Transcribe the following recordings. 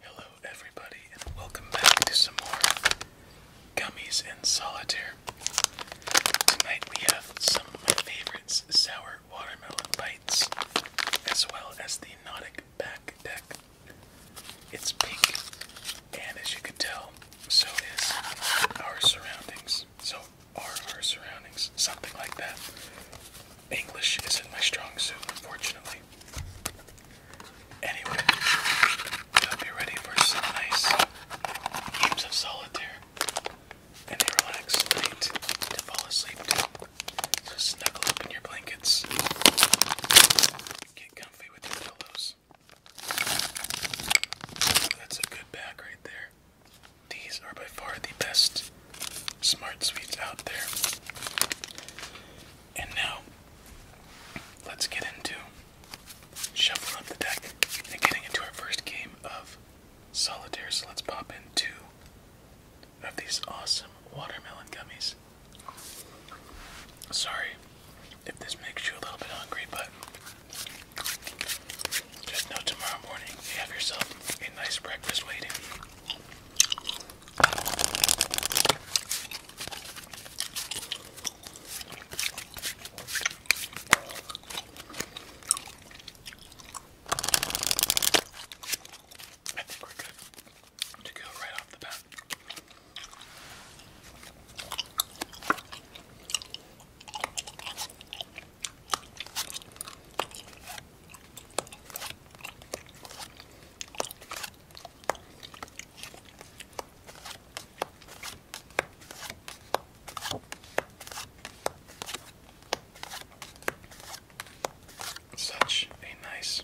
Hello, everybody, and welcome back to some more Gummies in Solitaire. Tonight we have some of my favorites sour watermelon bites, as well as the Nautic back deck. It's pink, and as you can tell, so is our surroundings. So or our surroundings, something like that. English isn't my strong suit, unfortunately. Anyway, hope you ready for some nice games of solitaire and a relaxed night to fall asleep to. So snuggle up in your blankets, get comfy with your pillows. That's a good pack right there. These are by far the best smart sweets out there. And now, let's get into shuffling up the deck and getting into our first game of solitaire. So let's pop into two of these awesome watermelon gummies. Sorry if this makes you a little bit hungry, but just know tomorrow morning you have yourself a nice breakfast waiting. I think we're good to go right off the bat. Such a nice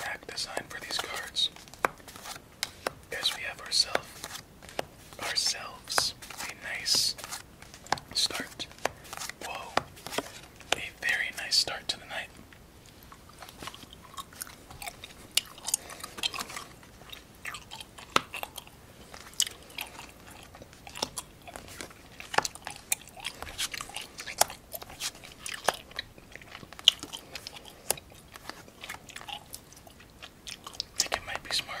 back design for these cards. As we have ourselves ourselves a nice start. Whoa, a very nice start to the night. I might be smarter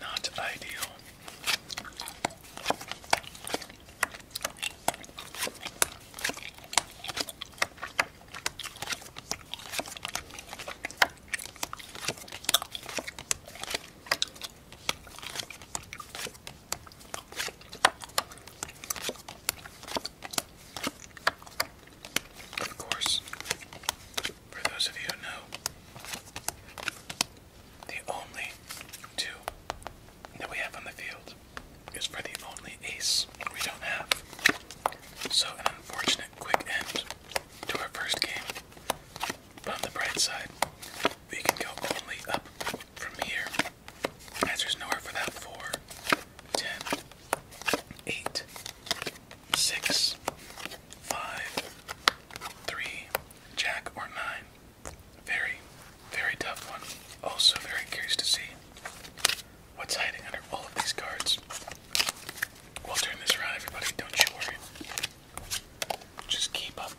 Not ideal. Of course, for those of you who know, the only two that we have on the field is for the only ace we don't have. So, an unfortunate quick end to our first game. But on the bright side, we can go only up from here, as there's nowhere for that 4, jack, or 9. Very, very tough one. Also, very curious to see what's hiding under all of these cards. We'll turn this around, everybody. Don't you worry. Just keep up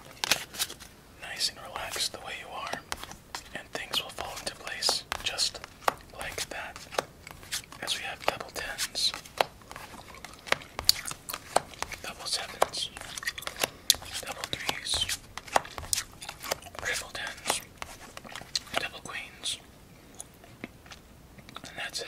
nice and relaxed the way you are, and things will fall into place just like that. As we have double tens, double sevens, double threes, Triple tens, double queens, and that's it.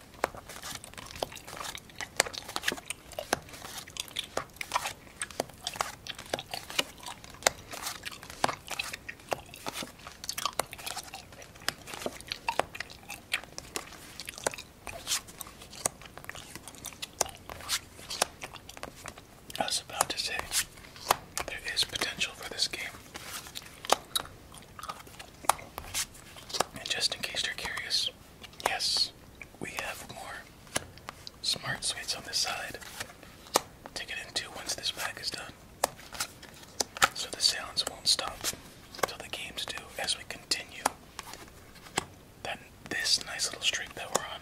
I was about to say there is potential for this game. And just in case you're curious, yes, we have more smart sweets on this side to get into once this pack is done. So the sounds won't stop until the games do as we continue that this nice little streak that we're on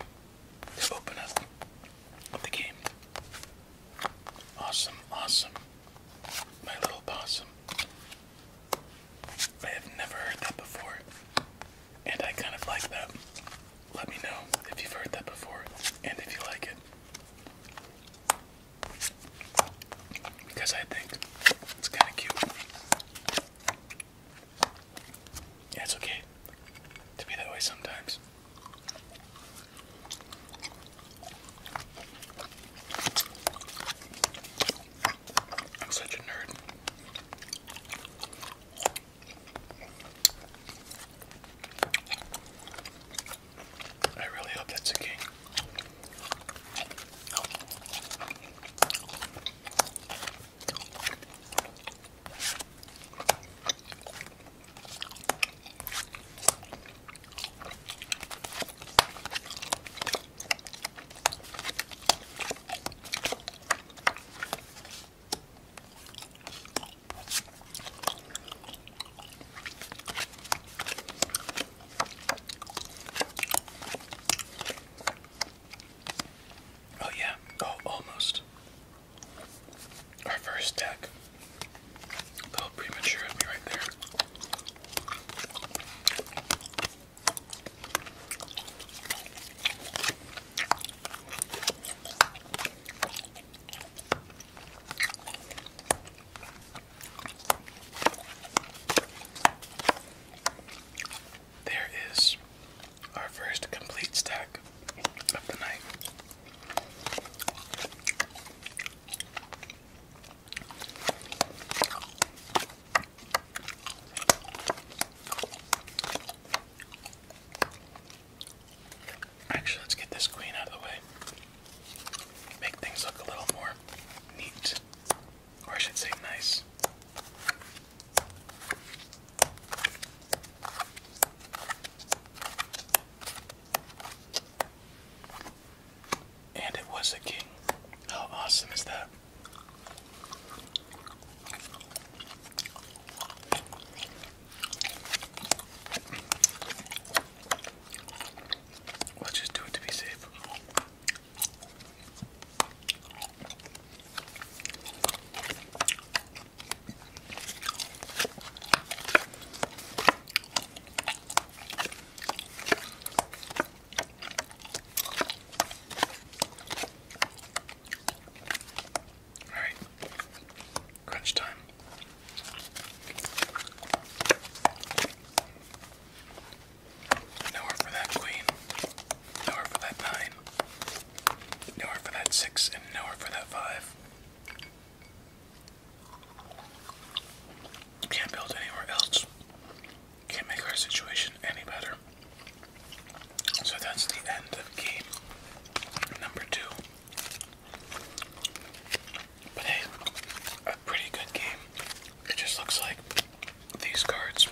to open up the game. Awesome, awesome. My little possum. I have never heard that before, and I kind of like that. Let me know if you've heard that before and if you like it. Because I think it's kind of cute. it's okay to be that way sometimes. I'm such a nerd. I really hope that's a king. Oh, yeah, oh, almost. Our first deck. Oh, premature There is our first complete stack of the night. Actually, let's get this queen out of the way. Make things look a little more neat, or I should say, nice. And it was a king. How awesome is that? Let's just do it to be safe. All right, crunch time. Nowhere for that queen, nowhere for that nine, nowhere for that six, and nowhere for that five. Can't build anywhere else. Can't make our situation any better. So that's the end of game number two. But hey, a pretty good game. It just looks like these cards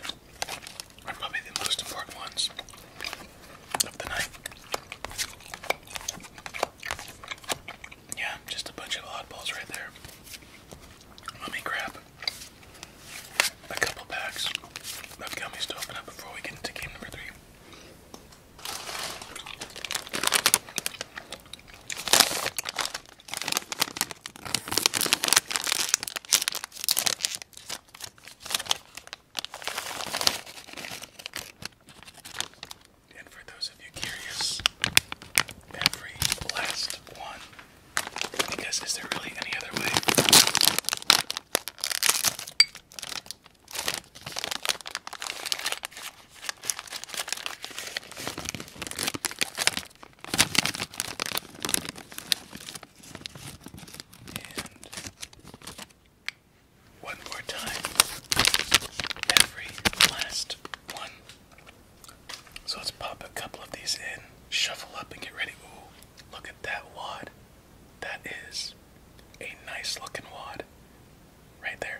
are probably the most important ones of the night. Yeah, just a bunch of oddballs right there. Let me grab a couple packs of gummies to open up before we get into game number three. And for those of you curious, every last one. Because is there really any other way? And one more time. Every last one. So let's pop a couple of these in, shuffle up, and get ready. Ooh, look at that wad. That is a nice looking wad right there.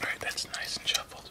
Alright, that's nice and shuffled.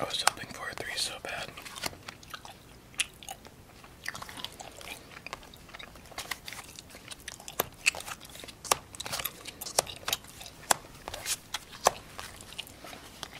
I was hoping for a three so bad.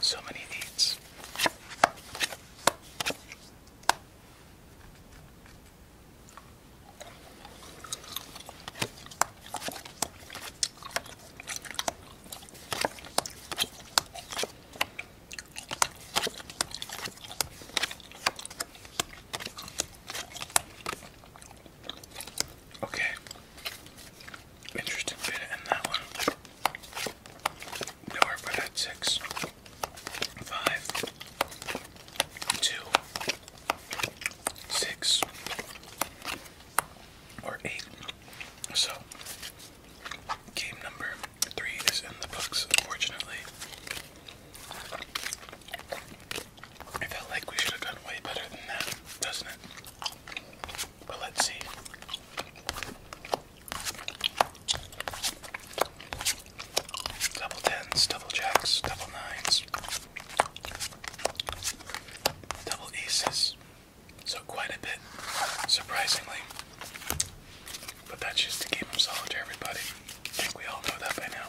So many needs. Okay, Interesting bit in that one. We were at six, five, two, six, or eight. So, game number three is in the books, unfortunately. I felt like we should have done way better than that, doesn't it? But let's see. Double tens, double jacks, double nines, double aces. So quite a bit, surprisingly. But that's just to keep them solid everybody. I think we all know that by now.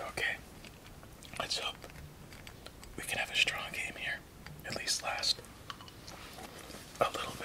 Okay, let's hope we can have a strong game here at least last a little bit.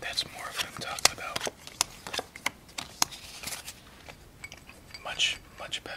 That's more of what I'm talking about. Much, much better.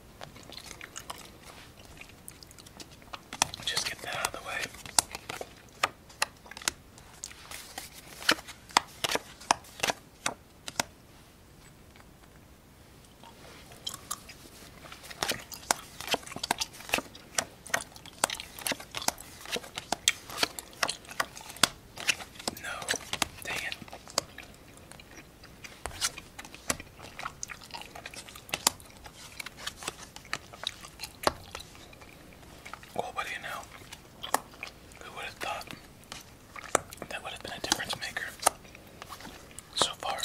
Just get that out of the way. No, dang it. Well, what you know? Who would have thought that would have been a difference maker so far?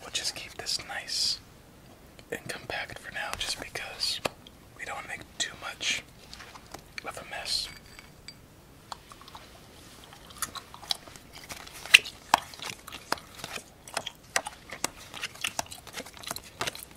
We'll just keep this nice and compact for now just because we don't want to make too much of a mess.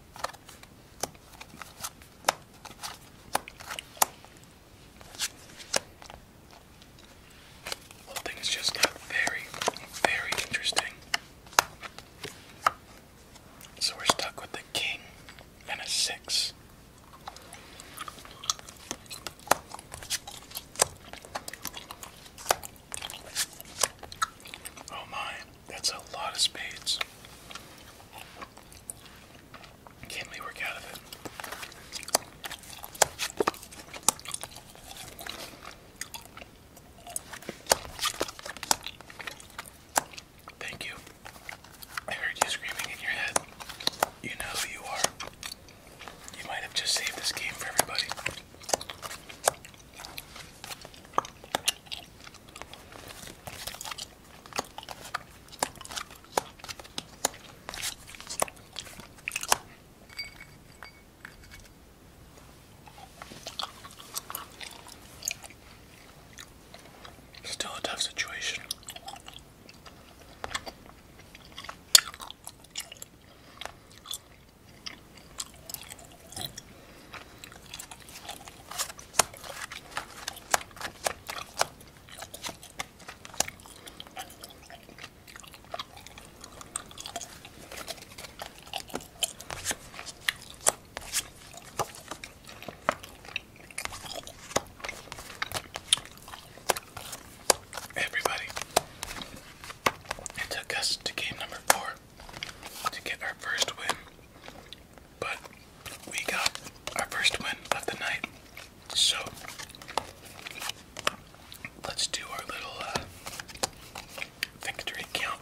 The whole just uh, very, very interesting. So we're stuck with the king and a six. Oh my. That's a lot of spades. Can we work out of it? Thank you. I heard you screaming in your head. You know who you are. You might have just saved this game for everybody. Still a tough situation. Everybody, it took us to game number four to get our first win. But we got our first win of the night. So let's do our little uh, victory count.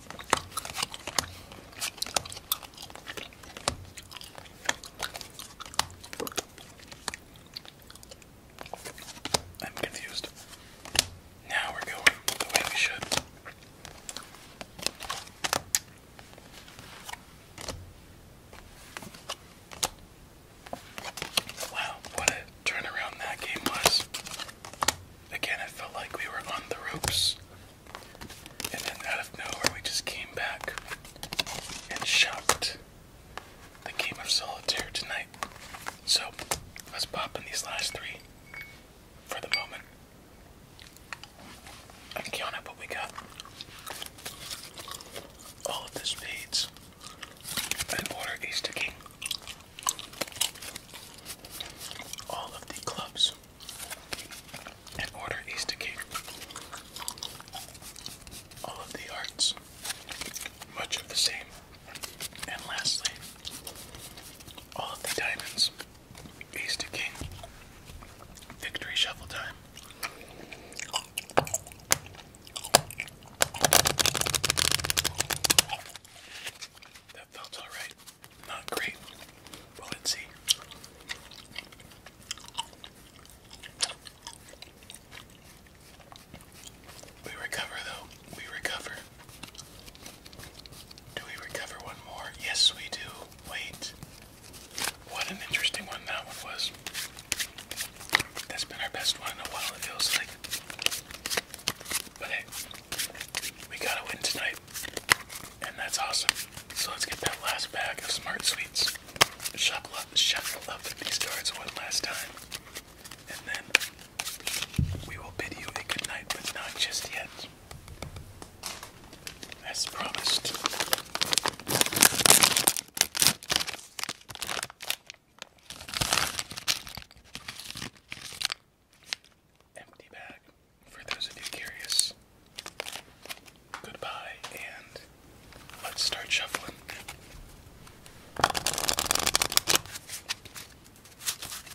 I'm confused. Now we're going the way we should. Wow, what a turnaround that game was. Again, it felt like we were on the ropes. And then out of nowhere, we just came back and shocked the game of solitaire tonight. So, let's pop in these last three for the moment. I'm counting up what we got. All of the spades. And order ace to king. All of the clubs. And order ace to king. All of the hearts. Much of the same. And lastly, all of the diamonds, ace to king, victory shuffle time. That felt alright. Not great. let's see. We recover, though. We recover. Do we recover one more? Yes, we do. Wait. What an interesting one that one was. That's been our best one in a while, it feels like. But hey, we got to win tonight. And that's awesome. So let's get that last bag of Smart Sweets. Shuffle up, shuffle up these cards one last time. And then we will bid you a good night, but not just yet. As promised. Empty bag for those of you curious. Goodbye, and let's start shuffling.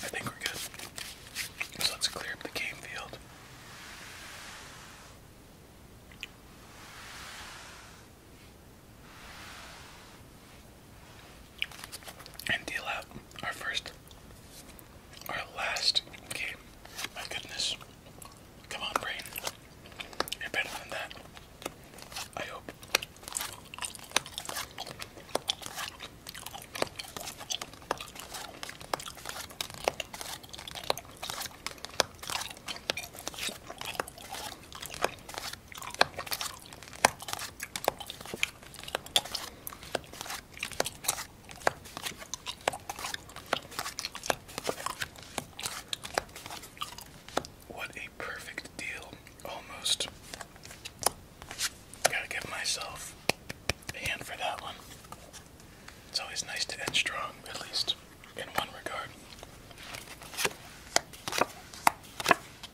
I think we're good. So let's clear up the game field. And deal out our first our last game. My goodness. Come on, brain. You're better than that. I hope. What a perfect deal, almost. Gotta give myself a hand for that one. It's always nice to end strong, at least in one regard.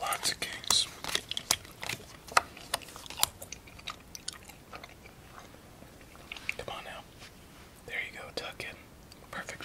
Lots of kings. Come on now. There you go, tuck in. Perfect.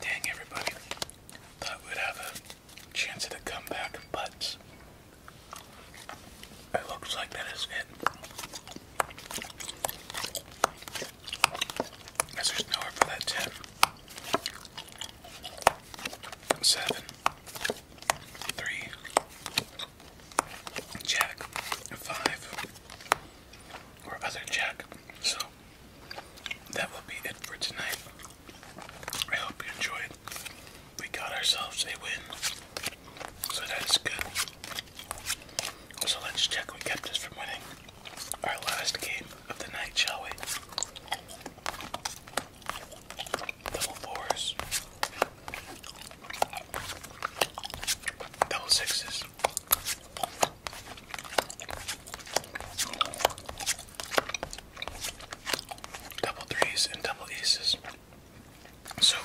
Dang, everybody thought would have a chance at a comeback, but it looks like that is it. Because there's nowhere for that tip. Seven, three, jack, five, or other jack. So that will be it for tonight. I hope you enjoyed. We got ourselves a win. So that's good. So let's check what kept us from winning our last game of the night, shall we? Double fours. Double sixes. Double threes and double aces. So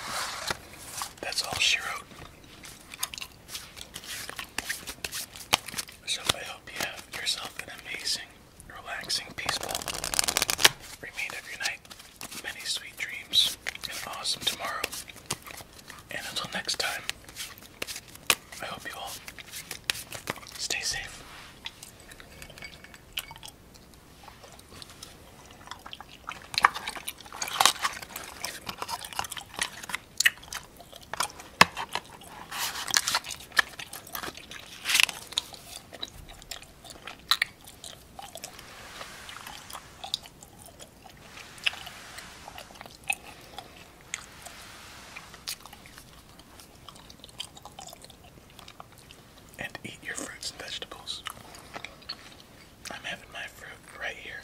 that's all she wrote. So I hope you have yourself an amazing, relaxing, peaceful remainder of night. Many sweet dreams and awesome tomorrow. And until next time, I hope you all stay safe. And eat your fruits and vegetables. I'm having my fruit right here.